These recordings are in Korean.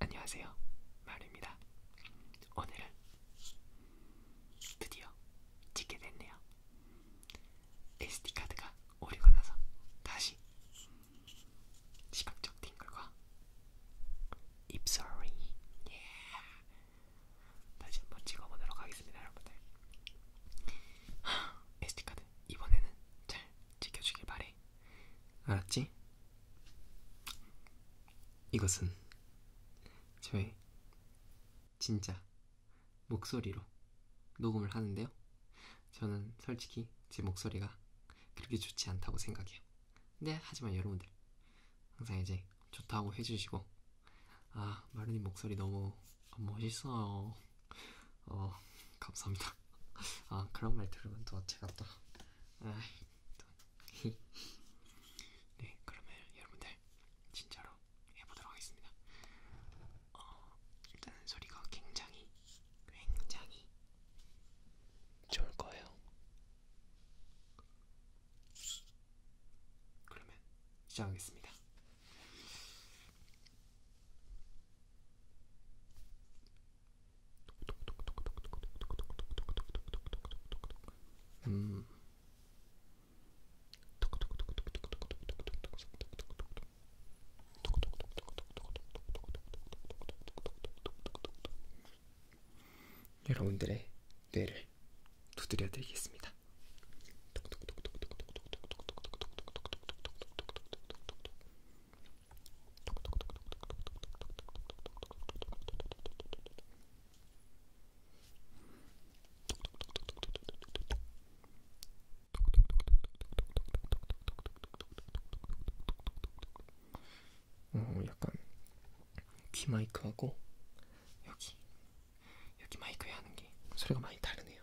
안녕하세요, 마루입니다. 오늘은 드디어 찍게 됐네요. SD 카드가 오리가 나서 다시 시각적 팅글과 입소리 yeah. 다시 한번 찍어보도록 하겠습니다, 여러분들. SD 카드 이번에는 잘 지켜주길 바래. 돼. 알았지? 이것은 저의 진짜 목소리로 녹음을 하는데요. 저는 솔직히 제 목소리가 그렇게 좋지 않다고 생각해요. 근데 하지만 여러분들 항상 이제 좋다고 해주시고 아 마르님 목소리 너무 멋있어요. 어 감사합니다. 아 그런 말 들으면 또 제가 또 아이 또. 네 그러면 여러분들 진짜로 해보도록 하겠습니다. 어, 일단은 소리가 굉장히 굉장히 좋을 거예요. 그러면 시작하겠습니다. 음. 여러분들의 뇌를 두드려 드리겠습니다. 어, 약간 귀 마이크하고 여기 여기 마이크에 하는 게 소리가 많이 다르네요.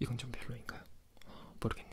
이건 좀 별로인가요? 모르겠네.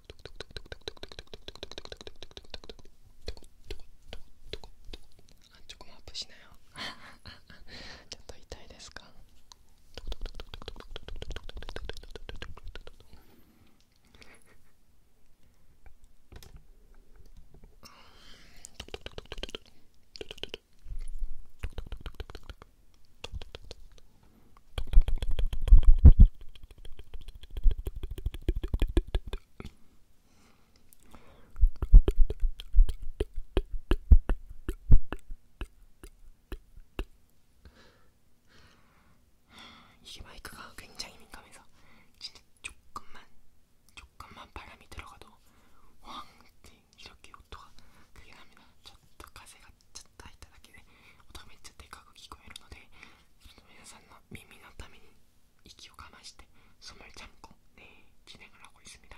あチョコもアップしなよ ちょっと痛いですか 이게 마이크가 굉장히 민감해서 진짜 조금만 조금만 바람이 들어가도 왕 이렇게 오토가 그게 납니다. ちょっと風がちょっと入っただけで音がめっちゃでかく聞こえるので皆さんの耳のために息をかましてそまりちゃんこねえきながらおいすみだ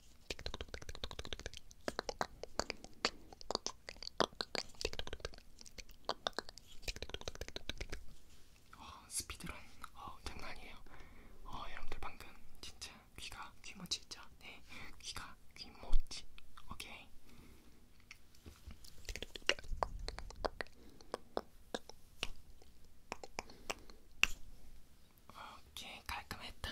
어, 아, 스피드런 어, 아, 장난이에요. 어, 여러분들 방금 진짜 귀가 귀모찌 있죠? 네, 귀가 귀모찌. 오케이. 오케이 깔끔했다.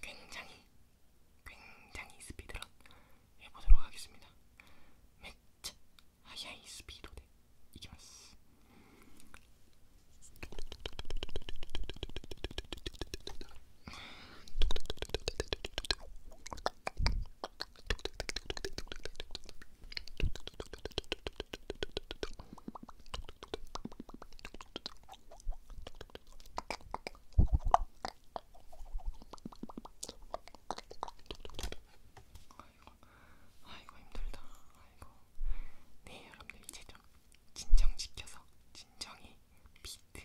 굉장히 굉장히 스피드런 해보도록 하겠습니다. 매츠 하야이 스피드 대 네, 이기마스. 아이고 힘들다. 아이고. 네 여러분들 이제 좀 진정 지켜서 진정이 비트.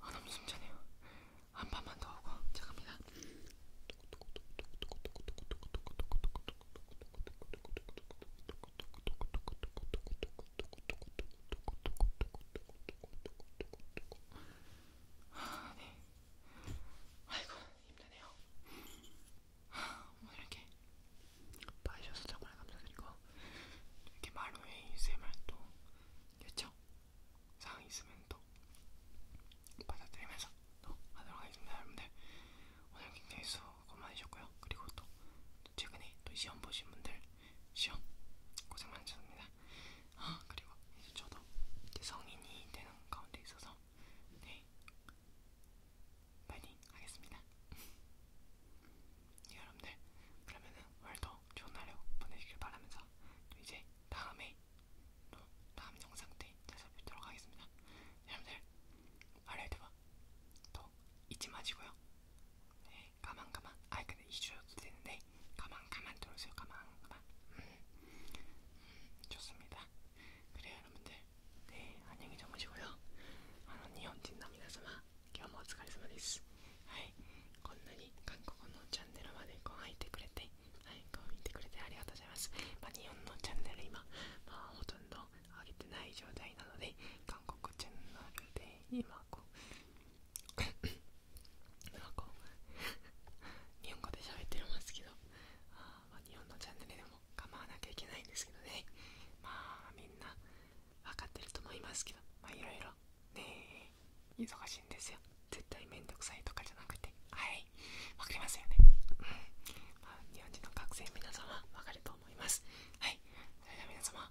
아 너무 숨차네요. 한 판만 더 하고 잠깐만. 아, 네. 아이고. 힘드네요. 오늘 뭐 이렇게 봐주셔서 정말 감사드리고 이렇게 마루에 ASMR 또 됐죠? 사항 있으면 또 받아들이면서 또 하도록 하겠습니다. 여러분들 오늘 굉장히 수고 많으셨고요. 그리고 또 최근에 또 시험 보신 분들 시험 고생 많으셨습니다. 아, 그리고 이제 저도 이제 성인이 되는 가운데 있어서 네 파이팅 하겠습니다. 여러분들 그러면은 오늘도 좋은 하루 보내시길 바라면서 또 이제 다음에 또 다음 영상 때 찾아뵙도록 하겠습니다. 여러분들 알려드 봐. 또 잊지 마시고요. 네, 가만 가만. 아 근데 잊으셔도 되는데 가만가만들어오세요カ만ンカ음ン。습니다그래요여러분들네ん、녕히주무시고요아노니온진나미나사마今日もお疲れ様ですはいこんなに韓国のチャンネルまでご覧いてくれてはいご覧いてくれてありがとうございますまあ日本のチャンネル今まあほとんど上げてない状態なので韓国チャンネルで今こう日本語で喋ってますけどあ、あ、日本のチャンネルでも構わなきゃいけないんですけどねまあみんな分かってると思いますけどまいろいろね忙しいんですよ絶対めんどくさいとかじゃなくてはいわかりますよねうんま日本人の学生皆様んわかると思いますはいそれでは皆様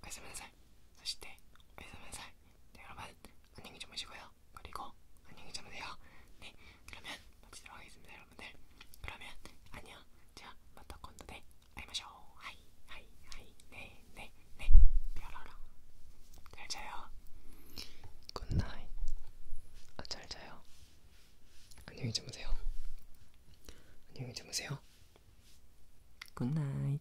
おやすみなさいそしておやすみなさい 네, 여러분 안녕히 주무시고요. 그리고 안녕히 주무세요. 네, 그러면 마치도록 하겠습니다, 여러분들. 그러면 안녕. 자, 마타 건도데 아이마쇼. 하이, 하이, 하이. 네, 네, 네. 별어라. 잘 자요. 굿나잇. 아, 잘 자요. 안녕히 주무세요. 안녕히 주무세요. 굿나잇.